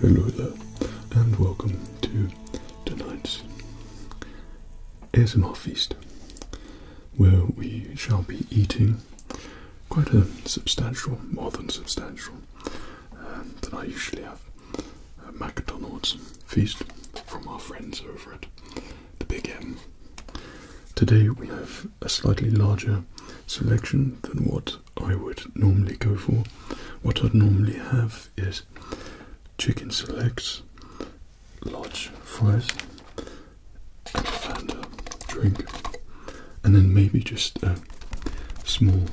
Hello there, and welcome to tonight's ASMR feast, where we shall be eating quite a substantial, more than substantial, um, than I usually have, a McDonald's feast from our friends over at the Big end. Today we have a slightly larger selection than what I would normally go for. What I'd normally have is chicken legs, large fries, and a drink, and then maybe just a small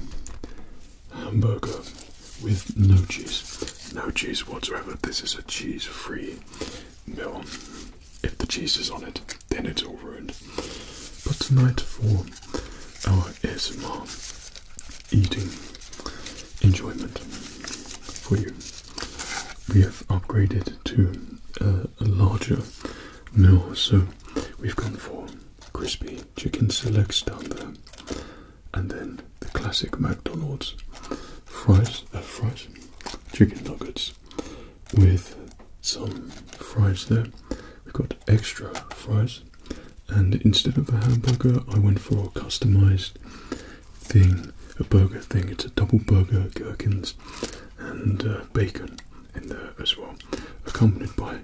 hamburger with no cheese. No cheese whatsoever. This is a cheese free meal if the cheese is on it, then it's all ruined. But tonight, for our esma eating enjoyment for you, we have upgraded to a larger meal. So we've gone for crispy chicken selects down there, and then the classic McDonald's fries, uh, fries, chicken nuggets, with some fries there. We've got extra fries, and instead of a hamburger, I went for a customized thing a burger thing. It's a double burger, gherkins, and uh, bacon in there as well, accompanied by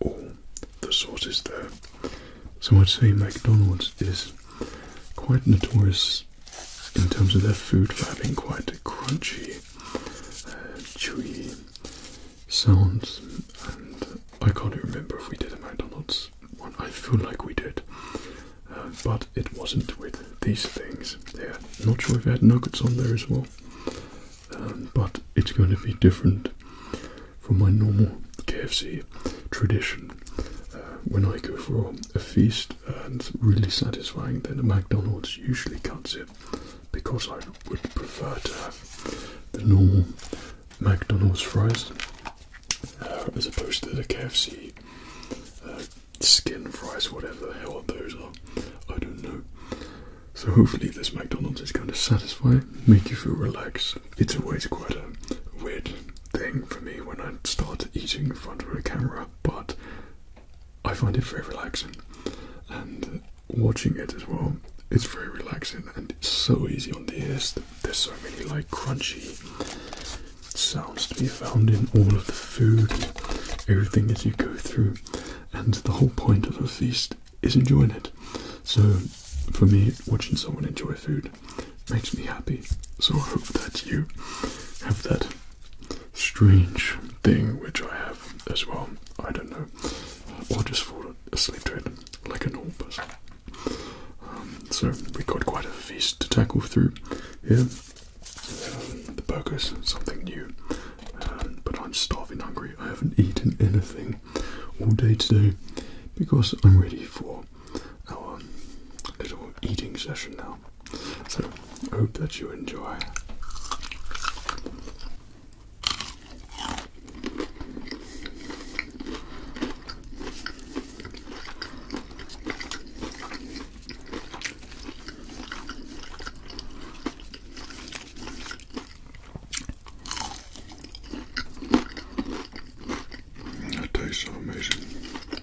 all the sauces there. So I'd say McDonald's is quite notorious in terms of their food for having quite crunchy uh, chewy sounds, and I can't remember if we did a McDonald's one. I feel like we did, uh, but it wasn't with these things. not sure if it had nuggets on there as well, um, but it's going to be different from my normal KFC tradition. Uh, when I go for a feast, and really satisfying, then a McDonald's usually cuts it because I would prefer to have the normal McDonald's fries uh, as opposed to the KFC uh, skin fries, whatever the hell those are. I don't know. So hopefully this McDonald's is going to satisfy, make you feel relaxed. It's always quite a weird thing for me when I start eating in front of a camera, but I find it very relaxing, and watching it as well, it's very relaxing and it's so easy on the ears. There's so many like crunchy sounds to be found in all of the food, everything as you go through, and the whole point of a feast is enjoying it. So, for me, watching someone enjoy food makes me happy. So I hope that you have that strange thing which I have as well. I don't know. Or just fall asleep to it like a normal person. Um, so we got quite a feast to tackle through here. Um, the burgers, something new. Um, but I'm starving hungry. I haven't eaten anything all day today because I'm ready for our little eating session now. So, hope that you enjoy. That tastes amazing.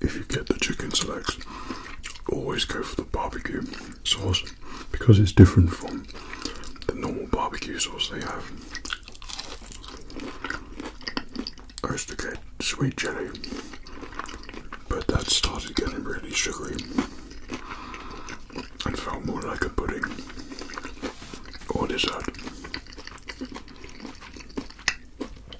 if you get the chicken selects, always go for the barbecue sauce because it's different from the normal barbecue sauce they have. I used to get sweet jelly, but that started getting really sugary and felt more like a pudding or dessert.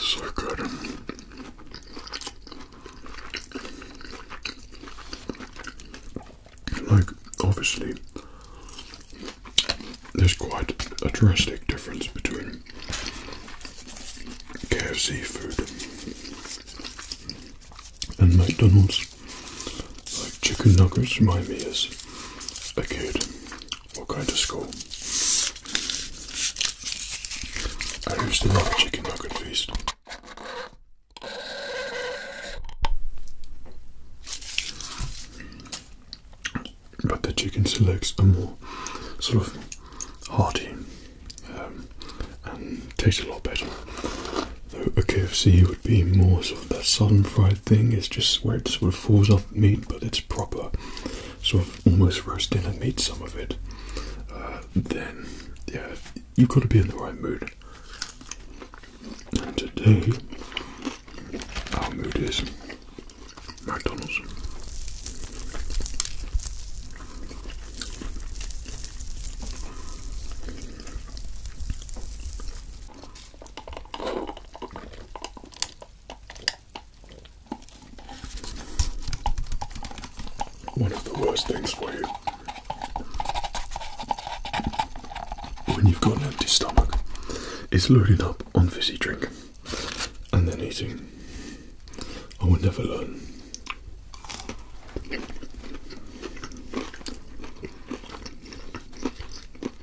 So good. Like, obviously, there's quite a drastic difference between KFC food and McDonald's. Like, chicken nuggets remind me is a kid or going to school I used to love a chicken nugget feast. But the chicken selects are more sort of hearty um, and taste a lot better. Though a KFC would be more sort of that southern fried thing, it's just where it's falls off meat, but it's proper, sort of almost roasting a meat, some of it, uh, then yeah, you've got to be in the right mood. And today, our mood is McDonald's. One of the worst things for you when you've got an empty stomach is loading up on fizzy drink and then eating. I will never learn.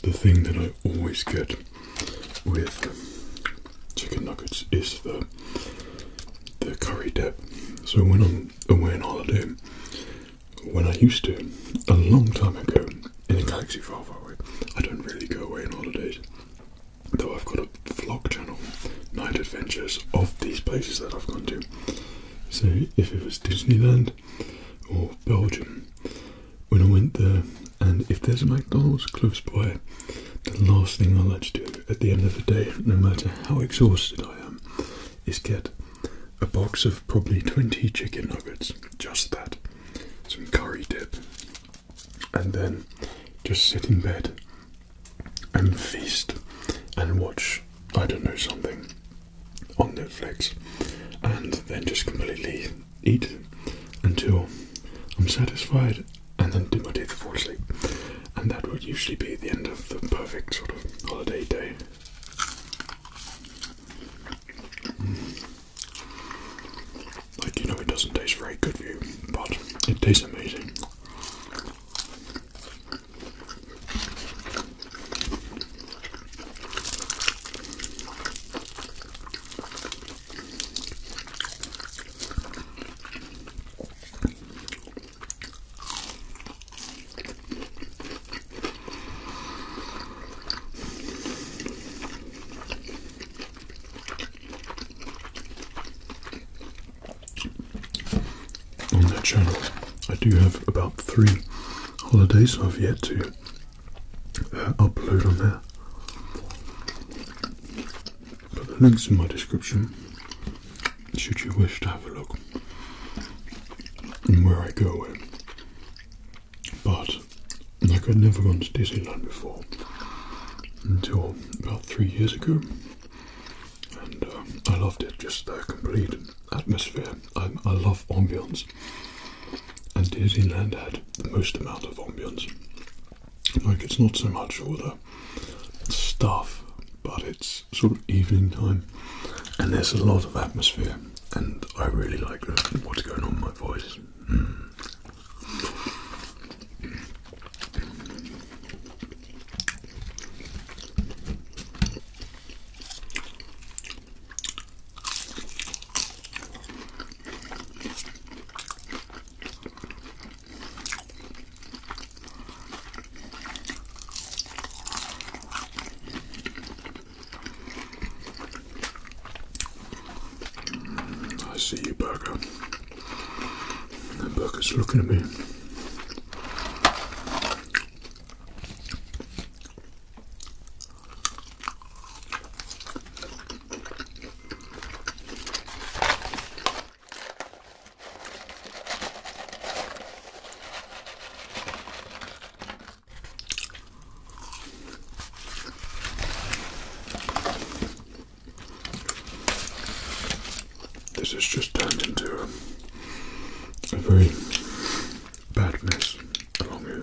the thing that I always get with chicken nuggets is the the curry dip. So when I'm away on holiday when I used to, a long time ago, in a galaxy far, far away. I don't really go away on holidays, though I've got a vlog channel, night adventures of these places that I've gone to. So if it was Disneyland or Belgium, when I went there, and if there's a McDonald's close by, the last thing I like to do at the end of the day, no matter how exhausted I am, is get a box of probably 20 chicken nuggets, just that, some curry dip, and then just sit in bed and feast and watch, I don't know, something on Netflix, and then just completely eat until I'm satisfied and then do my teeth and fall asleep. And that would usually be the end of the perfect sort of holiday day. Mm. Like, you know, it doesn't taste very good for you, but it tastes amazing. On that channel, I do have about three holidays I've yet to uh, upload on there. But the link's in my description should you wish to have a look and where I go but like I'd never gone to Disneyland before until about three years ago, and um, I loved it. Just the complete atmosphere. I, I love ambience, and Disneyland had the most amount of ambience. Like it's not so much all the stuff, but it's sort of evening time, and there's a lot of atmosphere and I really like what's going on in my voice. Mm. I see you, burger. That burger's looking at me. This has just turned into a, very bad mess along here.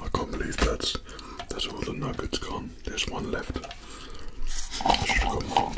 I can't believe that's that's all the nuggets gone. There's one left. should have got more.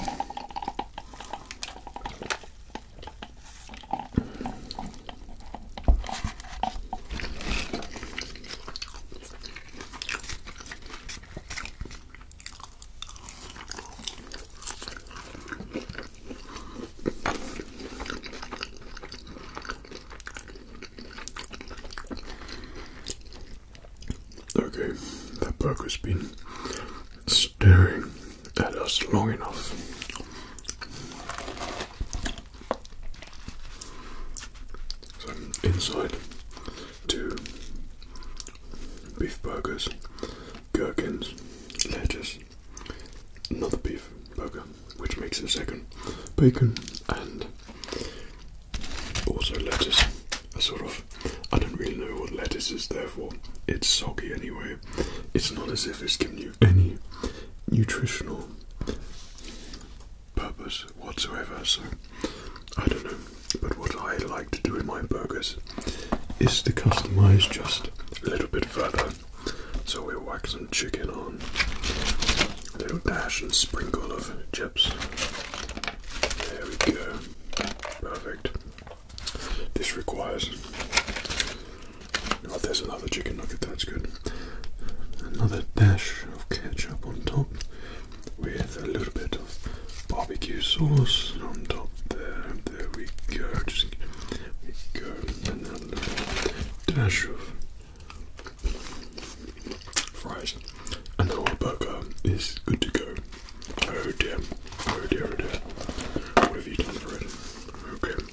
Okay, that burger's been staring at us long enough. So inside two beef burgers, gherkins, lettuce, another beef burger, which makes it second. Bacon and also lettuce. A sort of, I don't really know what lettuce is Therefore, It's soggy anyway. It's not as if it's given you any nutritional purpose whatsoever. So I don't know. But what I like to do in my burgers is to customize just a little bit further so we whack some chicken on. A little dash and sprinkle of chips. There we go. Perfect. This requires. Oh, there's another chicken nugget, that's good. Another dash of ketchup on top with a little bit of barbecue sauce on top there. There we go. Just we go. And Dash of fries and our burger is good to go. Oh dear, oh dear, oh dear. What have you done for it? Okay.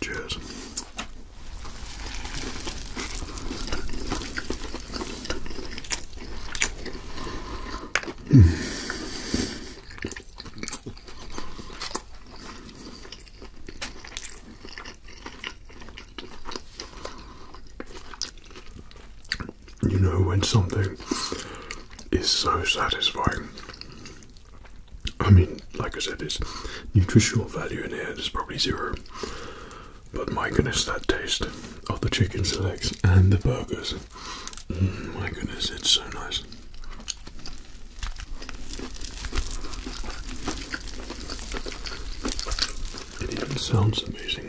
Cheers. Hmm. You know when something is so satisfying. I mean, like I said, it's nutritional value in here is probably zero. But my goodness, that taste of the chicken legs and the burgers Mm, my goodness, it's so nice. It even sounds amazing.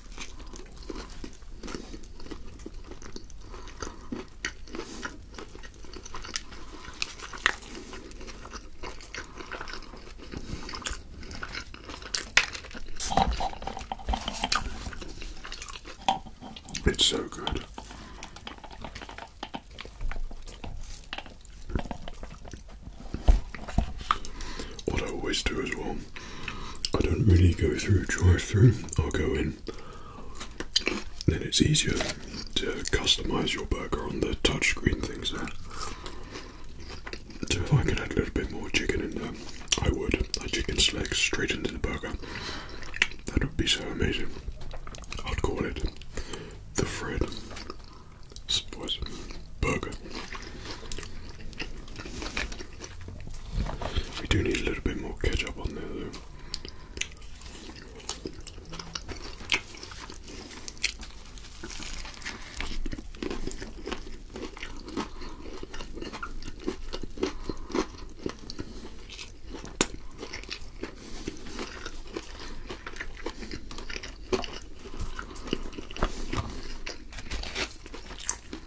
It's so good. What I always do as well I don't really go through drive through, I'll go in. Then it's easier to customise your burger on the touchscreen things there. So if I could add a little bit more chicken in there, I would. A chicken leg straight into the burger. That would be so amazing. I'd call it the Fred Burger. We do need a little bit more ketchup on there though.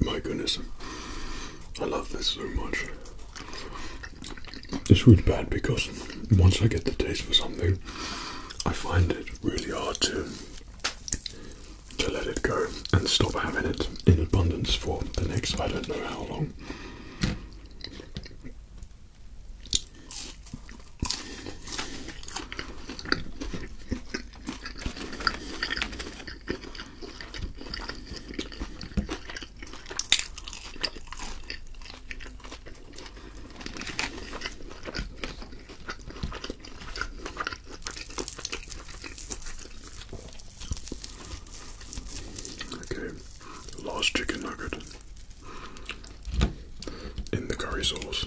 My goodness, I love this so much. It's really bad because once I get the taste for something, I find it really hard to to let it go and stop having it in abundance for the next I don't know how long. Okay, last chicken nugget in the curry sauce.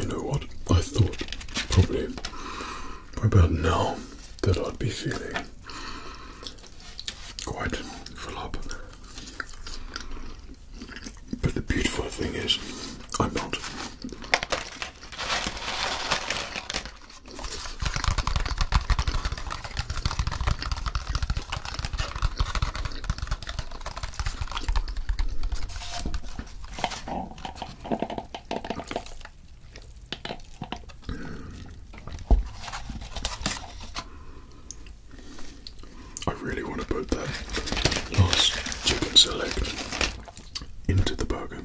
You know what? I thought probably by about now that I'd be feeling quite full up. But the beautiful thing is, I'm not. I really want to put that last chicken select into the burger.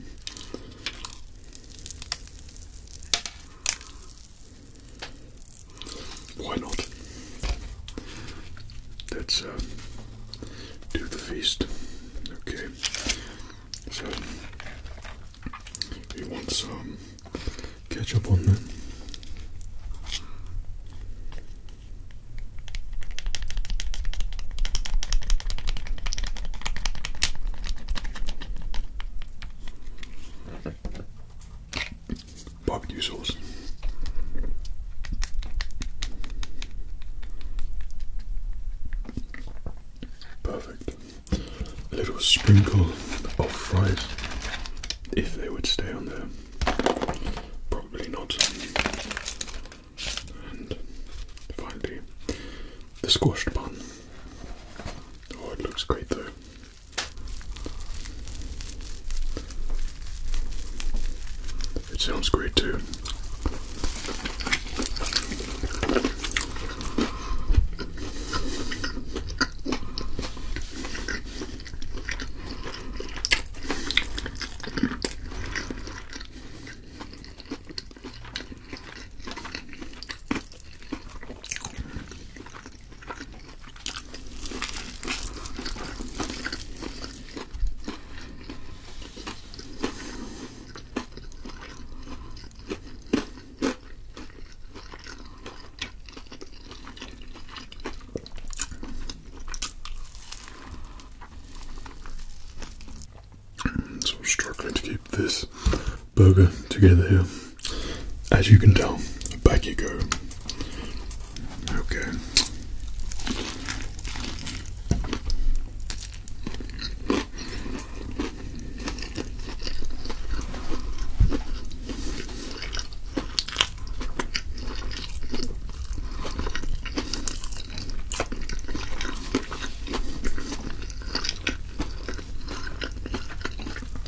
Why not? Let's uh, do the feast. Okay. So you want some ketchup on there? barbecue sauce. Perfect. A little sprinkle of fries, if they would stay on there. Probably not. And finally, the squashed bun. Oh, it looks great though. It sounds great too. So I'm struggling to keep this burger together here. As you can tell, back you go. Okay.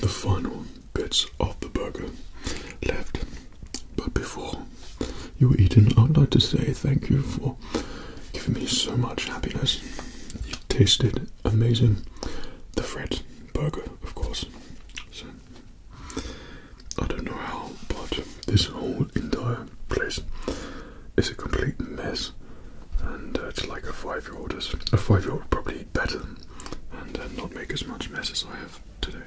The final bits of the burger left, but before you eat it, I'd like to say thank you for Given me so much happiness. tasted amazing. The Fred burger, of course. So, I don't know how, but this whole entire place is a complete mess. And uh, it's like a five-year-old is a five-year-old would probably eat better and uh, not make as much mess as I have today.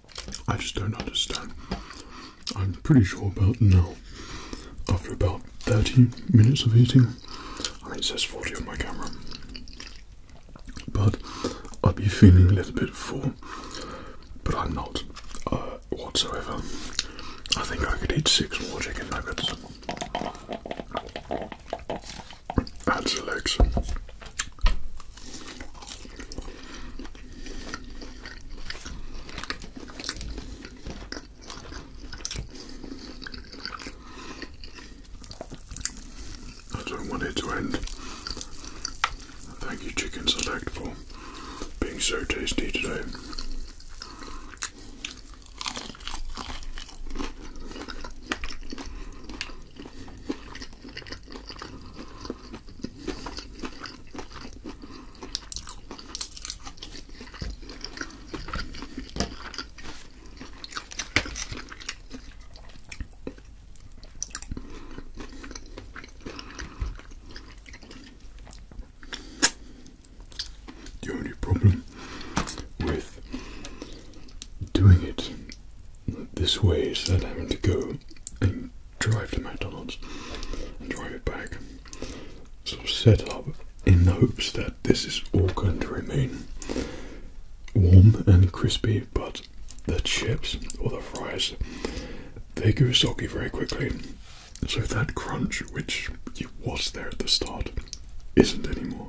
I just don't understand. I'm pretty sure about now, after about 30 minutes of eating, I mean, it says 40 on my camera, but I'd be feeling a little bit full, but I'm not uh, whatsoever. I think I could eat six more chicken nuggets. Add the legs. I don't want it to end. Thank you, Chicken Select, for being so tasty today. The only problem with doing it this way is that i have to go and drive to McDonald's and drive it back. Sort of set up in the hopes that this is all going to remain warm and crispy, but the chips or the fries they go soggy very quickly. So that crunch which was there at the start isn't anymore.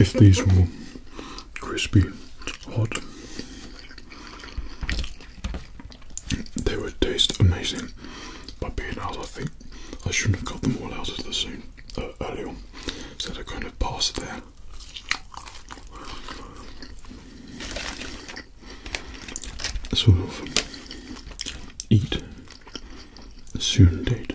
if these were crispy, hot, they would taste amazing. But being out, I think I shouldn't have got them all out of the same uh, early on, so I are kind of past there. Sort of eat soon date.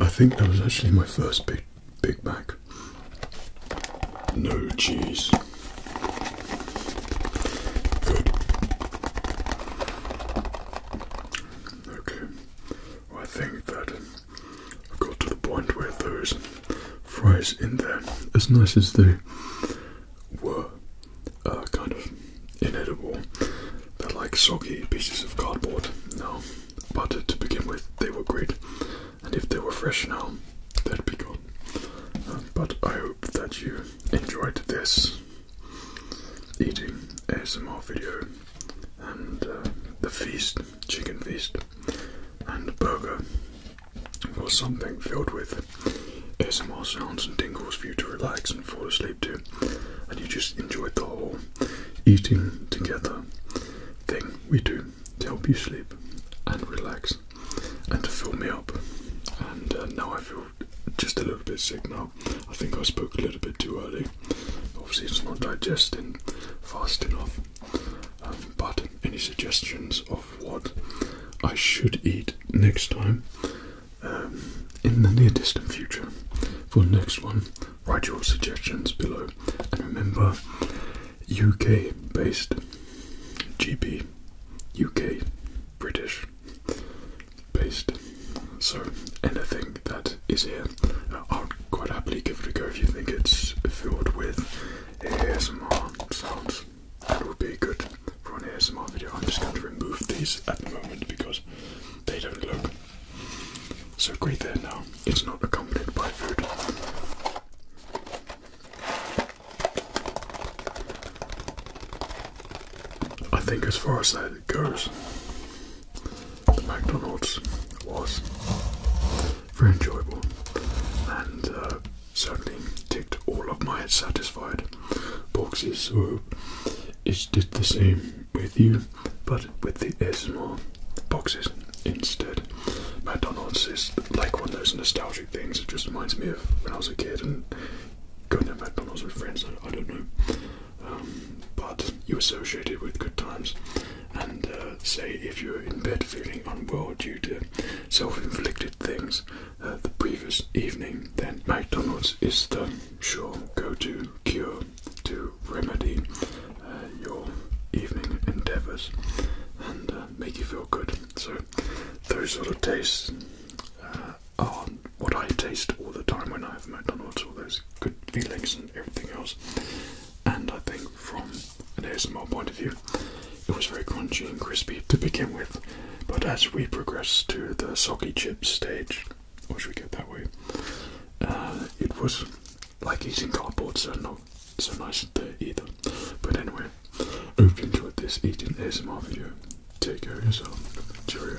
I think that was actually my first big Big Mac. No cheese. Good. Okay. I think that I've got to the point where those fries in there, as nice as they were, kind of inedible. They're like soggy pieces of cardboard No, but to begin with, they were great and if they were fresh now, they'd be gone. but I hope that you enjoyed this eating ASMR video and uh, the feast, chicken feast, and burger, for something filled with ASMR sounds and tingles for you to relax and fall asleep to, and you just enjoyed the whole eating together thing we do to help you sleep and relax and to fill me up. And uh, now I feel just a little bit sick now. I think I spoke a little bit too early. Obviously, it's not digesting fast enough. Um, but any suggestions of what I should eat next time um, in the near distant future for the next one? Write your suggestions below. And remember, UK based, GB, UK, British based. So anything that is here, I'll quite happily give it a go if you think it's filled with ASMR sounds. That would be good for an ASMR video. I'm just going to remove these at the moment because they don't look so great there now. It's not accompanied by food. I think as far as that goes, the McDonald's was very enjoyable and uh, certainly ticked all of my satisfied boxes. So it did the same with you but with the ASMR boxes instead. McDonald's is like one of those nostalgic things. It just reminds me of when I was a kid and going to McDonald's with friends. I, don't know. Um, but you associate it with good times. And uh, say if you're in bed feeling unwell due to self-inflicted things uh, the previous evening, then McDonald's is the sure go-to cure to remedy uh, your evening endeavors and uh, make you feel good. So, those sort of tastes uh, are what I taste all the time when I have McDonald's, all those good feelings and everything else. And I think, from an ASMR point of view, it was very crunchy and crispy to begin with, but as we progress to the soggy chip stage, or should we get that way? it was like eating cardboard, so not so nice there either. But anyway, hope you enjoyed this eating ASMR video. Take care of yourself. Cheers.